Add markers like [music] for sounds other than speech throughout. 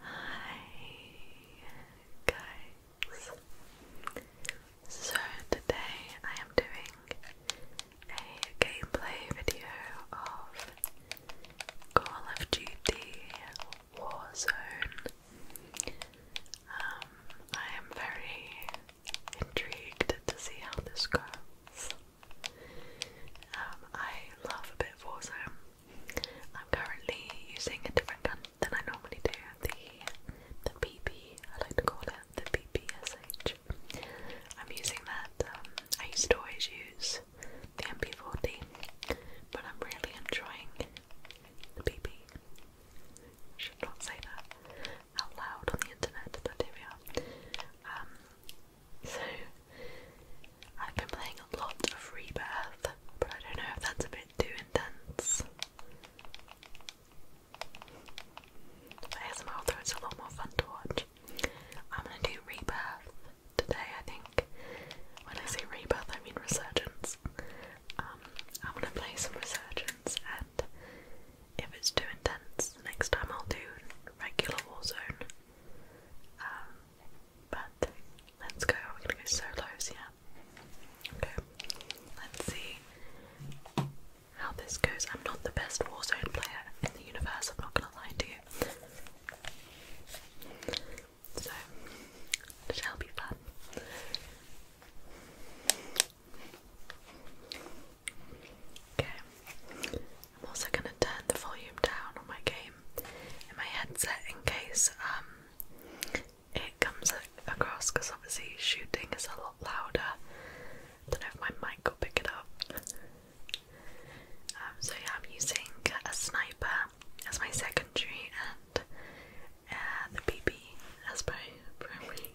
Hi guys. So today I am doing a gameplay video of Call of Duty Warzone. Um, I am very intrigued to see how this goes. Um, I love a bit Warzone. I'm currently using a different gun than I normally do, the the BB, I like to call it, the PPSH. I'm using that, um, I used to always use the MP40, but I'm really enjoying the PP. Should not say that out loud on the internet, but here we are. Um, so I've been playing a lot of Rebirth, but I don't know if that's a bit too intense. But ASMR although it's a lot more fun to watch. I'm gonna do Rebirth today, I think. When I say Rebirth, I mean Resurgence. Um, I'm gonna play some Resurgence, and if it's too intense, next time I'll do regular Warzone. Um, but let's go. We're gonna go solos, yeah. Okay. Let's see how this goes. I'm not the best Warzone player in the universe. I'm not gonna lie to you. So it shall be fun. Okay. I'm also gonna turn the volume down on my game in my headset in case um, it comes across because obviously shooting is a lot louder. I don't know if my mic will pick it up. Um, so yeah, I'm using a sniper as my secondary and uh, the BB as my primary.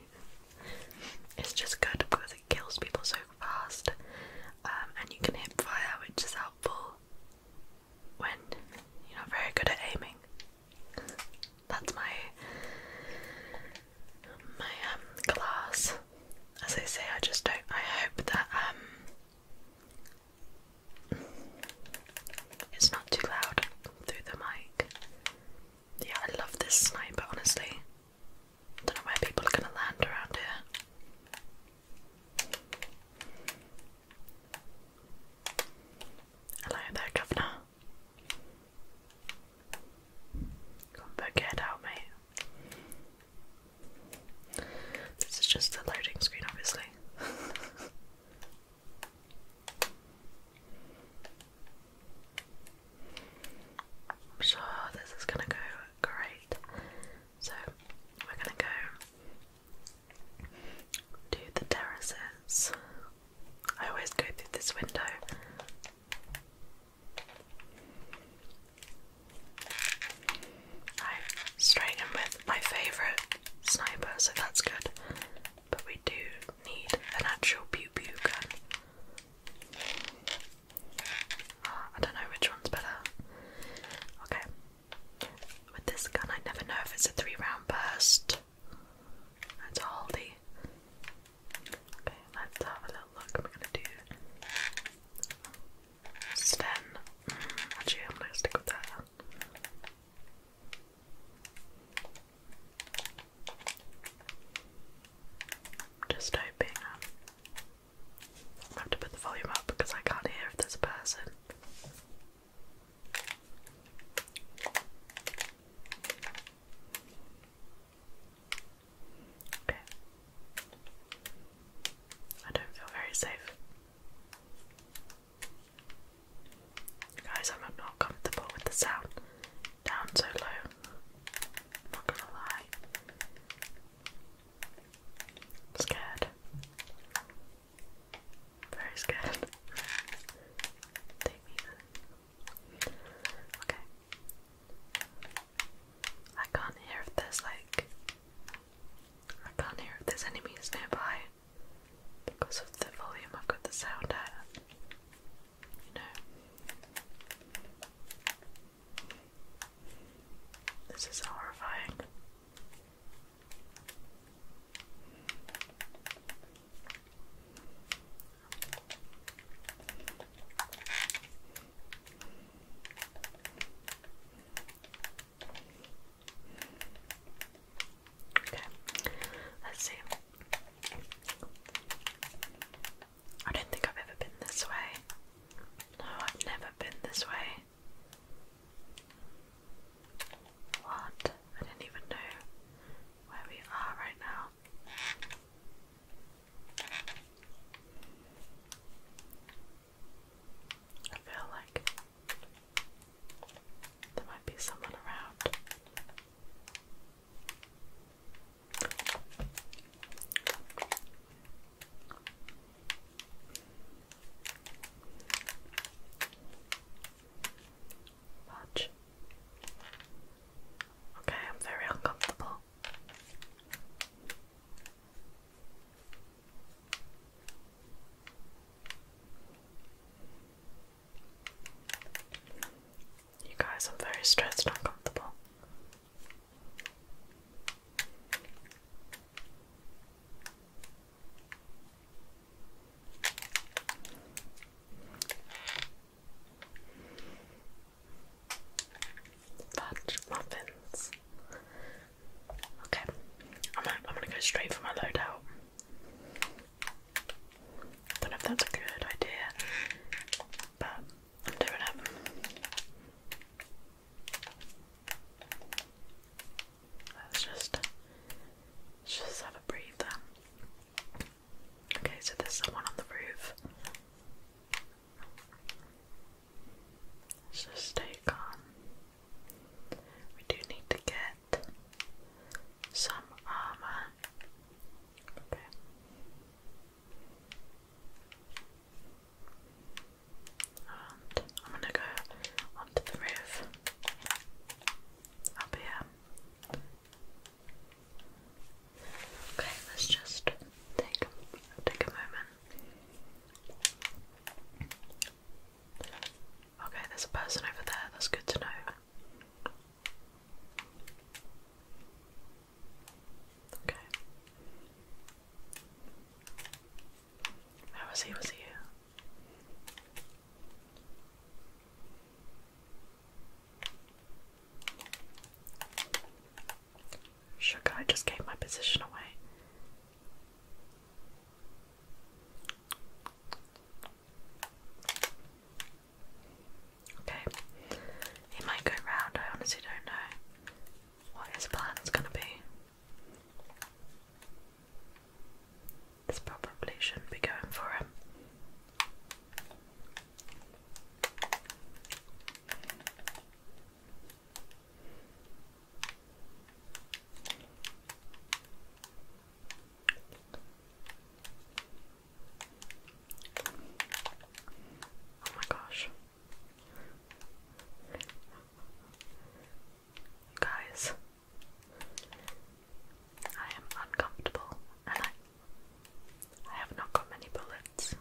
It's just good because it kills people so fast, um, and you can hit fire, which is helpful when you're not very good at aiming. That's my my um class. As I say, I just don't. I hope that um it's not too loud through the mic. Yeah, I love this sniper. Honestly, don't know where people are gonna land around here. Hello there, Governor. Come back, get out, mate. This is just the loading screen, obviously. [laughs] I'm sure this is gonna go great. So we're gonna go to the terraces. I always go through this window. I'm straying with my favourite sniper, so that's good. But we do need an actual pew pew gun. Ah, I don't know which one's better. Okay, with this gun, I never know if it's a three round burst. That's a Okay, let's have a little look. I'm gonna do Sten. Mm, actually, I'm gonna stick with that. Just hoping um, I have to put the volume up because I can't hear if there's a person. Okay. I don't feel very safe. Guys, I'm not comfortable with the sound down so low. not gonna lie. scared. Very scared. Okay. I can't hear if there's like I can't hear if there's enemies nearby because of the volume I've got the sound at. You know. This is horrifying. Okay, let's see. I don't think I've ever been this way. No, I've never been this way. What? I didn't even know where we are right now. I feel like there might be someone around. Watch. Okay, I'm very uncomfortable. You guys, I'm very stressed and uncomfortable. Fudge muffins. Okay, I'm gonna, I'm gonna go straight for my loadout. I don't know that's a good idea, but I'm doing it. Let's just let's just have a breather. Okay, so there's someone on the roof. Let's just stay calm. We do need to get some armor. Okay. And I'm gonna go onto the roof up Okay, let's just take take a moment. Okay, there's a person over there. That's good to know. Okay. How was he? Was he Sugar, I just gave my position away. Okay, he might go round, I honestly don't know what his plan is going to be. This probably shouldn't be going for him. Oh my gosh. Guys, I am uncomfortable and I I have not got many bullets.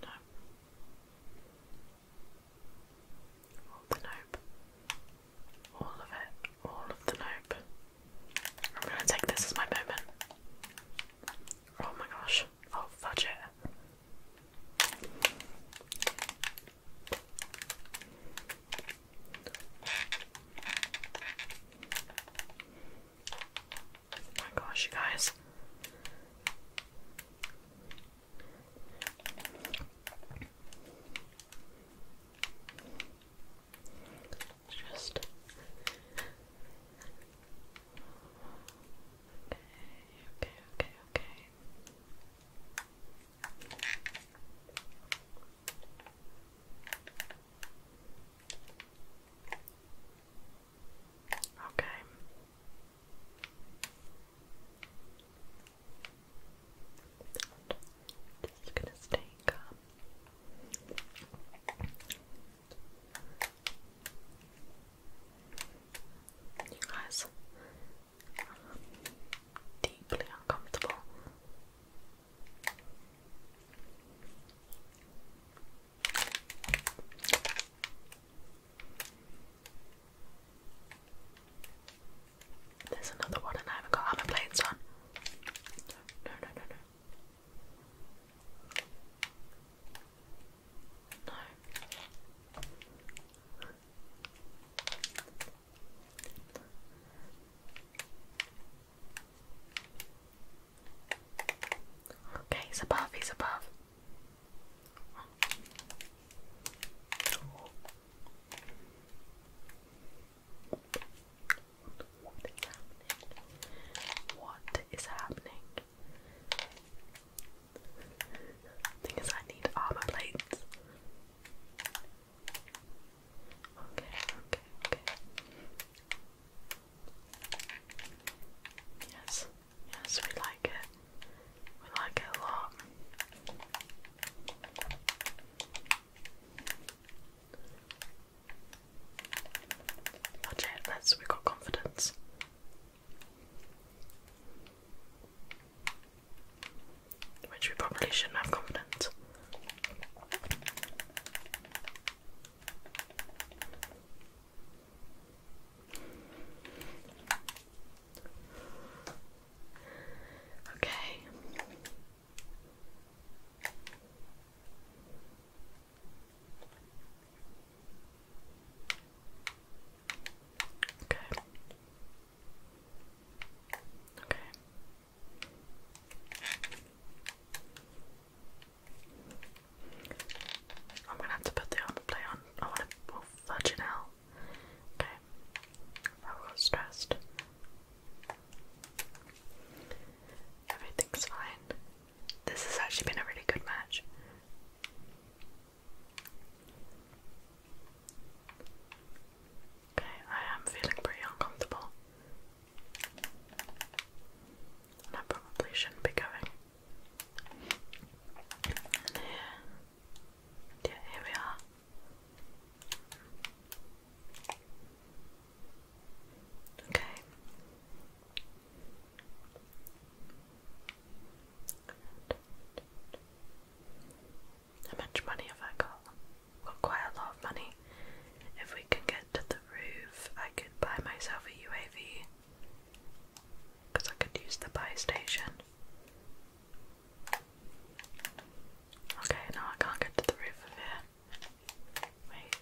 the nope. All of it. All of the nope. I'm gonna take this as my moment. Oh my gosh. Oh, fudge it. Oh my gosh, you guys. Just Okay, okay, okay, okay. Okay. Just gonna stay calm. You guys deeply uncomfortable. There's another one, and I haven't got hammer plates on. No, no, no, no. No. Okay, he's above, he's above. What is happening? What is happening? Thing I need armor plates. Okay, okay, okay. Yes, yes, we like it. We like it a lot. Watch it, we got confidence. Which we probably shouldn't have confidence. Okay. Okay. Okay. I'm gonna have to put the armor on. I wanna well fudge it out. Okay. I got stressed. Everything's fine. This has actually been a really good match. Okay, I am feeling pretty uncomfortable. I probably shouldn't be going. And yeah, here we are. Okay, how much money have I got? got quite a lot of money. If we can get to the roof, I could buy myself a UAV. Because I could use the buy station. Okay, no, I can't get to the roof of here. Wait.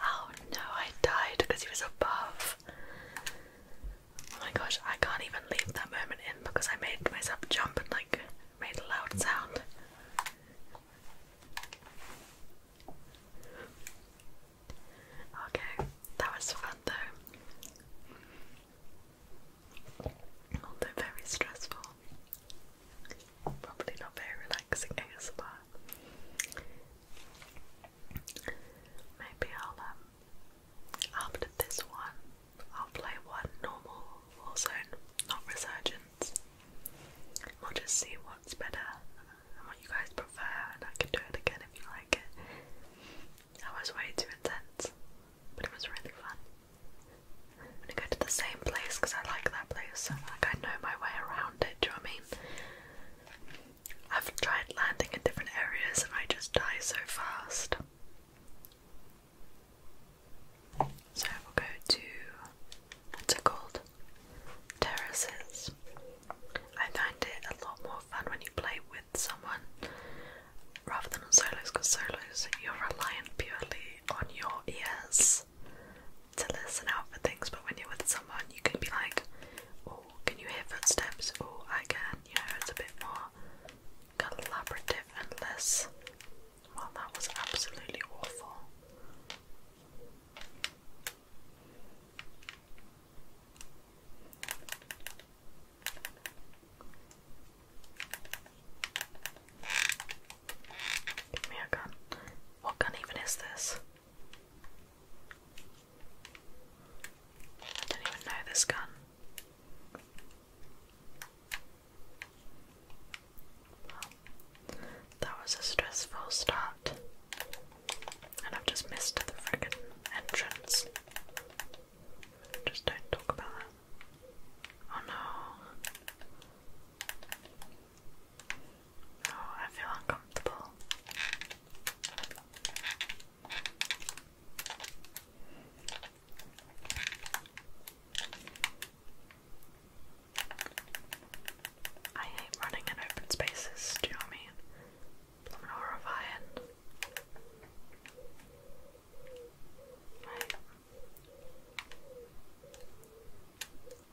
Oh no, I died because he was above. Oh my gosh, I can't even leave that moment in because I made myself jump and like made a loud sound. Okay, that was fun though. Although very stressful probably not very relaxing ASMR. Maybe I'll um, after this one I'll play one normal Warzone, not resurgence. We'll just see what's better and what you guys prefer and I can do it again if you like it. That was way too intense, but it was really fun. I'm gonna go to the same place because I like that place like I know my way around it, do you know what I mean? I've tried landing in different areas and I just die so fast. So we'll go to what's it called? Terraces. I find it a lot more fun when you play with someone rather than on solos solos you're reliant purely on your ears to listen out for things, but when you're with someone, you can be like, oh, can you hear footsteps? Oh, I can. You know, it's a bit more collaborative and less. Well, that was absolutely awful. Give me a gun. What gun even is this? I not even know this gun. that was a stressful start. And I've just missed the frickin' entrance. Just don't talk about that. Oh no. Oh, I feel uncomfortable. I hate running in open spaces, do you mean? I'm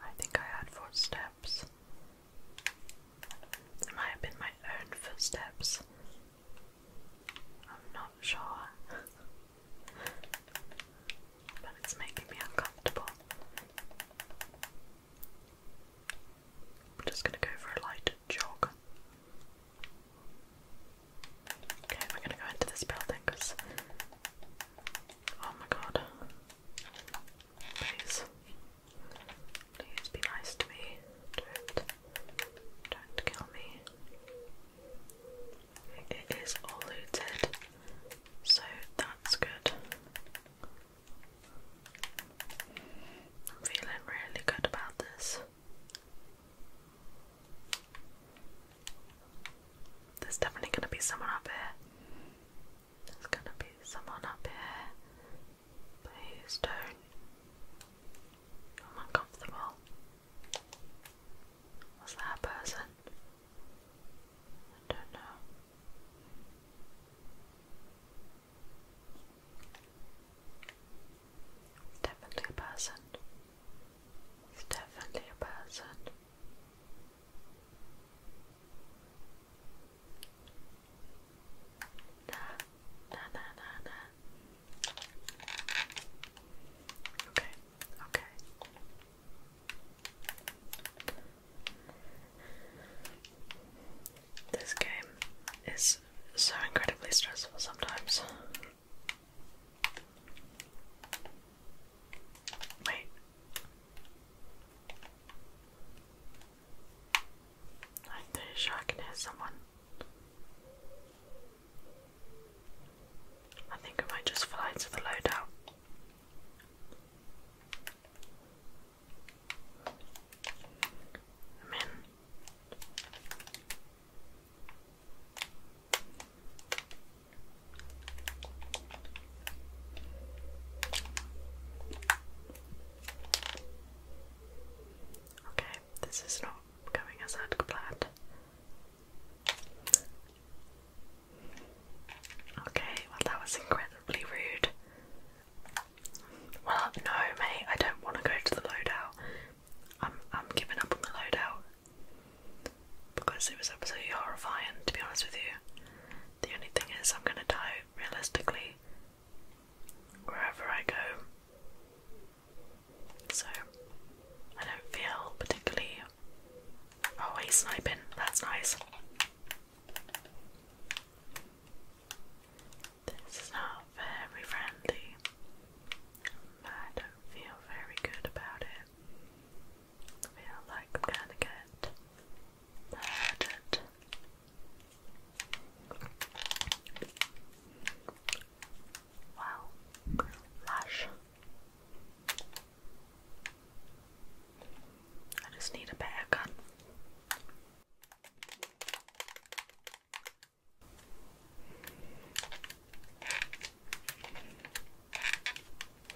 I think I had four steps. It might have been my own footsteps. I'm not sure. but it's making me uncomfortable. I'm just gonna go for a light jog. Okay, we're gonna go into this building because. Oh my god. Please. Please be nice to me. Don't don't kill me. It is all So that's good. I'm feeling really good about this. There's definitely gonna be someone up here. There's gonna be someone up here. Please don't. I'm uncomfortable. Was that a person? I don't know. It's definitely a person. It's definitely a person. Da, da, da, da. Okay, okay. This game is so incredibly stressful sometimes. Wait, I'm pretty sure I can hear someone. I think I might just fly to the loadout. I'm in. Okay, this is not going as I'd planned. Okay, well, that was incredibly rude. Well, no, mate, I don't want to go to the loadout. I'm, I'm giving up on the loadout because it was absolutely horrifying, to be honest with you. The only thing is, I'm going to die realistically, wherever I go. So, I don't feel particularly. Oh, he's sniping, that's nice. This is not very friendly. I don't feel very good about it. feel like I'm gonna get murdered. Wow, lush. I just need a better gun.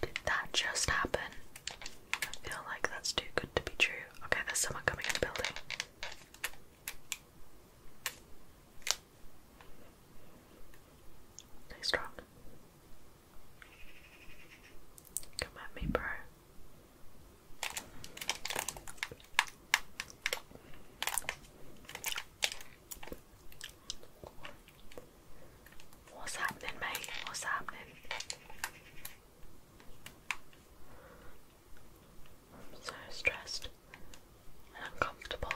Did that just happen? I feel like that's too good to be true. Okay, there's someone coming in the building. Stay strong. Come at me, bro. What's happening, mate? What's happening? I'm so stressed and uncomfortable.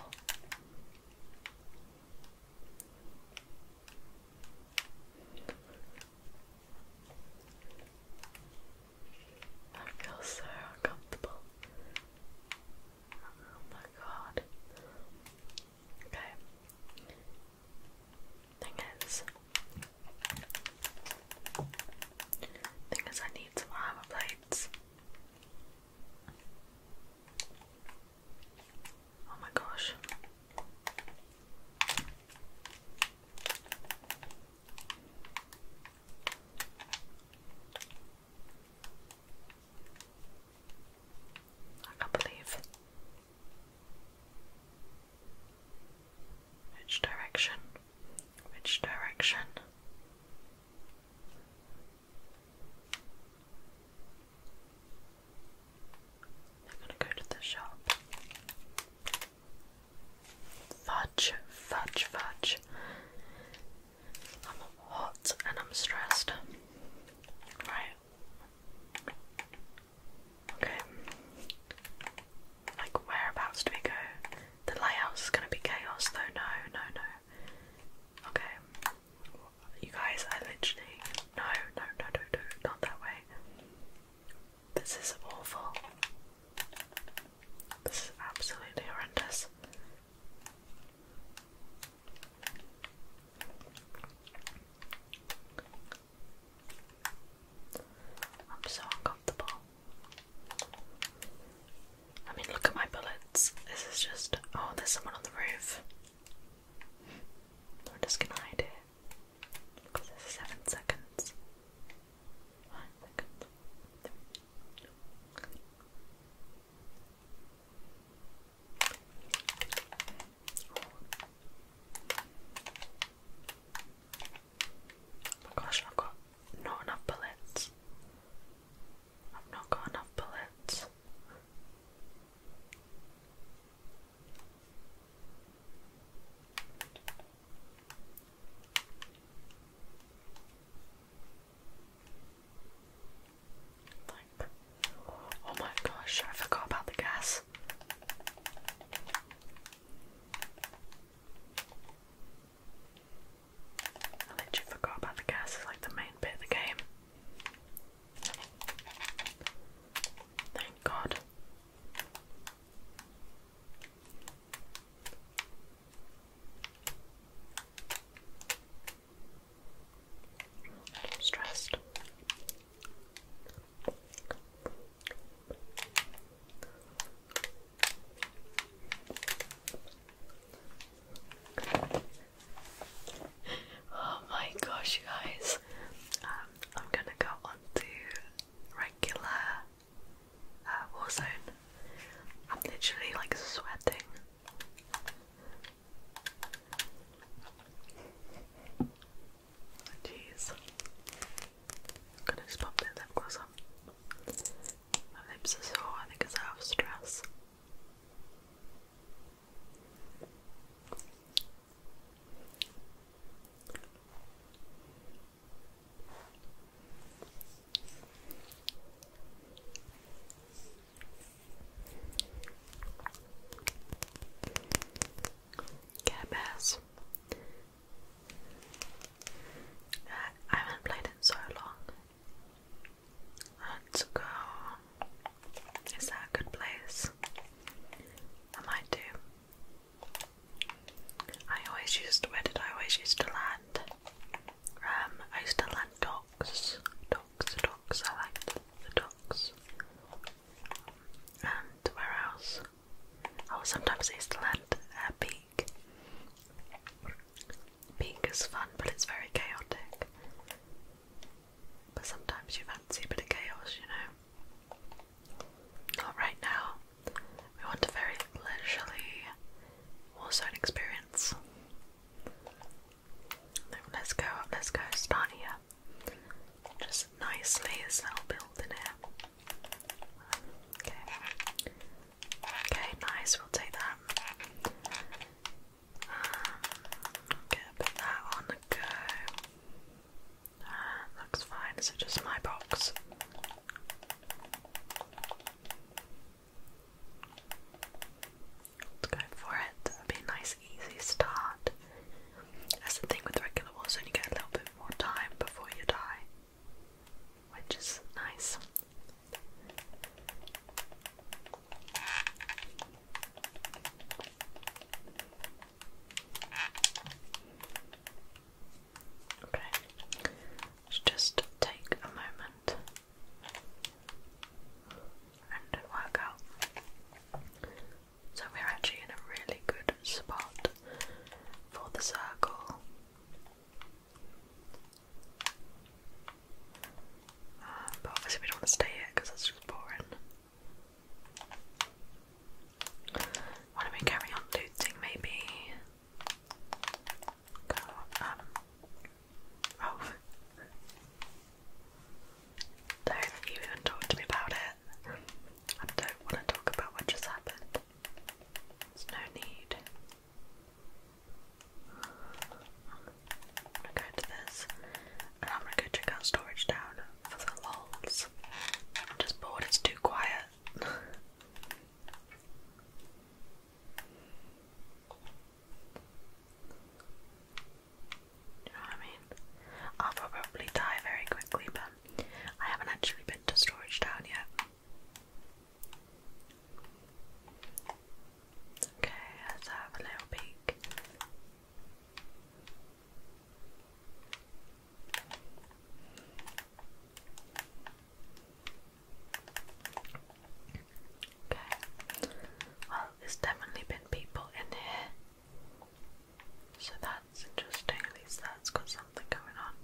I feel so uncomfortable. Oh my god. Okay. Thing is, thing is, I need some armor plates. Oh my gosh. I can't believe which direction? Which direction? I'm gonna go to the shop. Fudge, fudge, fudge. I'm hot and I'm stressed. Right. Okay. Like, whereabouts do we go? The layout's gonna be chaos though, no, no, no. Okay. You guys, I literally. No, no, no, no, no, not that way. This is awful. This is absolutely horrendous. I'm so uncomfortable. I mean, look at my bullets. This is just. Oh, there's someone on the roof. I'm just gonna hide it. 7 seconds. 5 Oh my gosh, I've got not enough bullets. I've not got enough bullets. oh my gosh, I forgot about the gas this. I literally forgot about the gas, it's like the main bit of the game. Thank God. I'm stressed. Oh my gosh, you guys! Um, I'm gonna go on to regular uh, war zone. I'm literally like sweating. Jeez. gonna just that lip gloss on. My lips are so. I think it's out of stress. Care Bears. I haven't played in so long. Let's go. Is that a good place? I might I always used where did I always used to land? Um, I used to land docks. Docks, docks, I liked the docks and where else? Oh, sometimes I used to land a peak. Peak is fun, but it's very chaotic. But sometimes you fancy a bit of chaos, you know. Not right now. We want a very leisurely warzone experience. Let's go, let's go, start here. Just nicely, this little building here. Okay. Okay, nice, we'll take that. Um, okay, put that on the go. Ah, looks fine, is just my box? Let's go for it. be a nice, easy start. That's the thing with regular ones, when you get a little bit more time before you die, which is nice. Okay, let's just take a moment and work out so we're actually in a really good spot for the circle. Um, but obviously, we don't want to stay here because that's just boring. Why don't we carry on looting? Maybe um, don't even talk to me about it. I don't want to talk about what just happened. There's no need. I'm gonna go to this and I'm gonna go check out Storage Down for the lols. I'm just bored, it's too quiet. [laughs] you know what I mean? I'll probably die very quickly, but I haven't actually been to Storage Town yet. Okay, let's have a little peek. Okay. Well, there's definitely been people in here. So that's interesting, at least that's got something going on.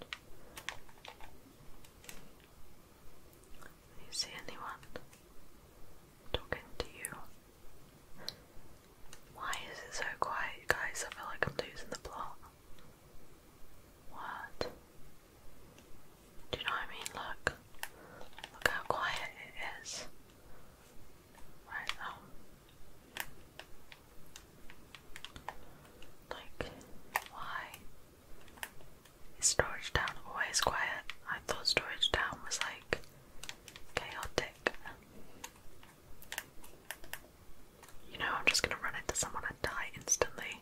you see anyone talking to you? Why is it so quiet, guys? I feel like I'm losing the plot. What? Do you know what I mean? Look. Look how quiet it is. Right now. Um, like, why is Storage Town always quiet? I thought Storage Town was like chaotic. You know, I'm just gonna run into someone and die instantly.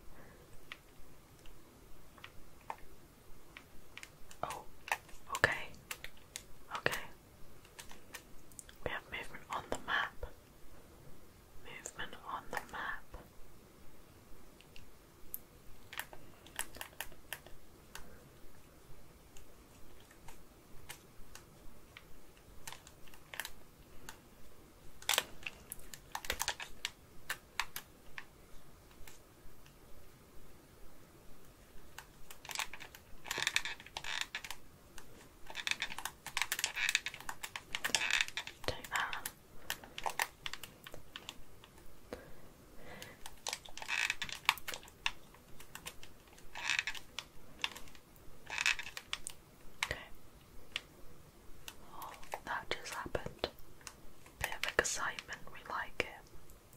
Oh, okay. Okay, we have movement on the map. Movement on the map. Take that. Okay. Oh, that just happened. Bit of excitement, we like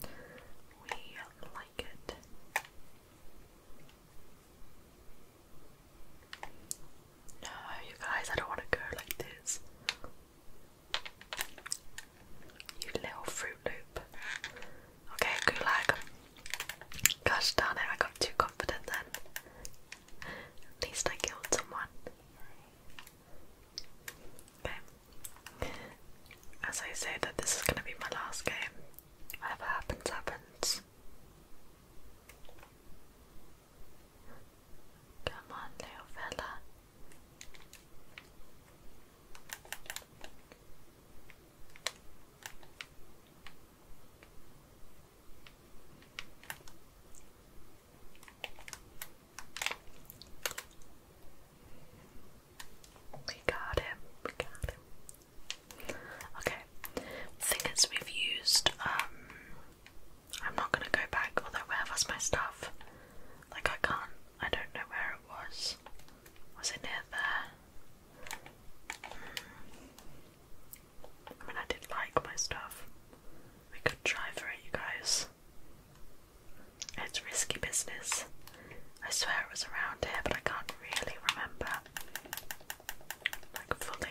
it. We like it. No, you guys, I don't want to go like this. You little fruit loop. Okay, gulag. Gosh darn it, I got too confident then. At least I killed someone. Okay. As I say that this is gonna be my last game. Whatever happens, happens. Come on, little fella. We got him, we got him. Okay, figures we've used. Um, I'm not gonna go back. Although where was my stuff? Like I can't. I don't know where it was. Was it near there? Hmm. I mean, I did like my stuff. We could try for it, you guys. It's risky business. I swear it was around here, but I can't really remember like fully.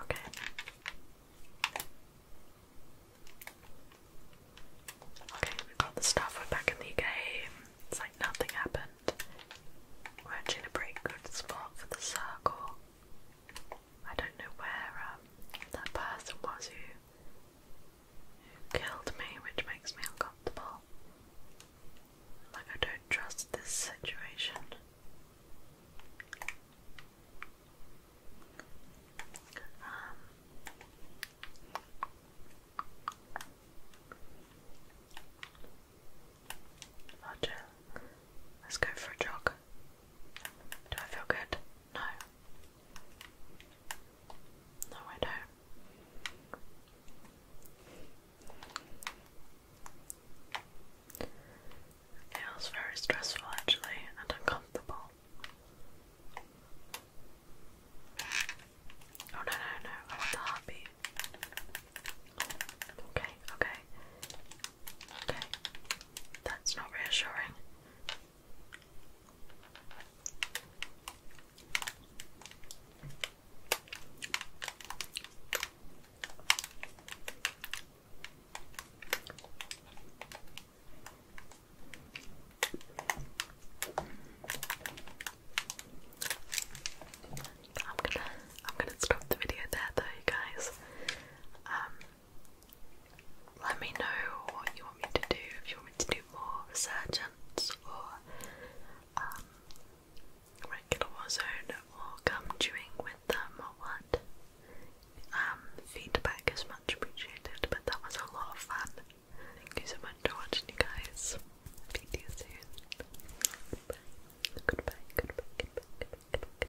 Okay. Okay, we got the stuff, we're back in the game. It's like nothing happened. We're actually a pretty good spot for the circle. I don't know where um, that person was who, killed me, which makes me uncomfortable. Like, I don't trust this situation. Um, Roger, let's go for a jog. Do I feel good? No. No, I don't. It feels very stressful actually and uncomfortable. Oh no no no, I want the heartbeat. Okay, okay. Okay, that's not reassuring. I'm gonna I'm gonna stop the video there though you guys. Um let me know what you want me to do, if you want me to do more resurgence or um, regular warzone or come chewing with them or what. Um, feedback is much appreciated, but that was a lot of fun. Thank you so much for watching you guys. Speak you soon. goodbye, goodbye, goodbye.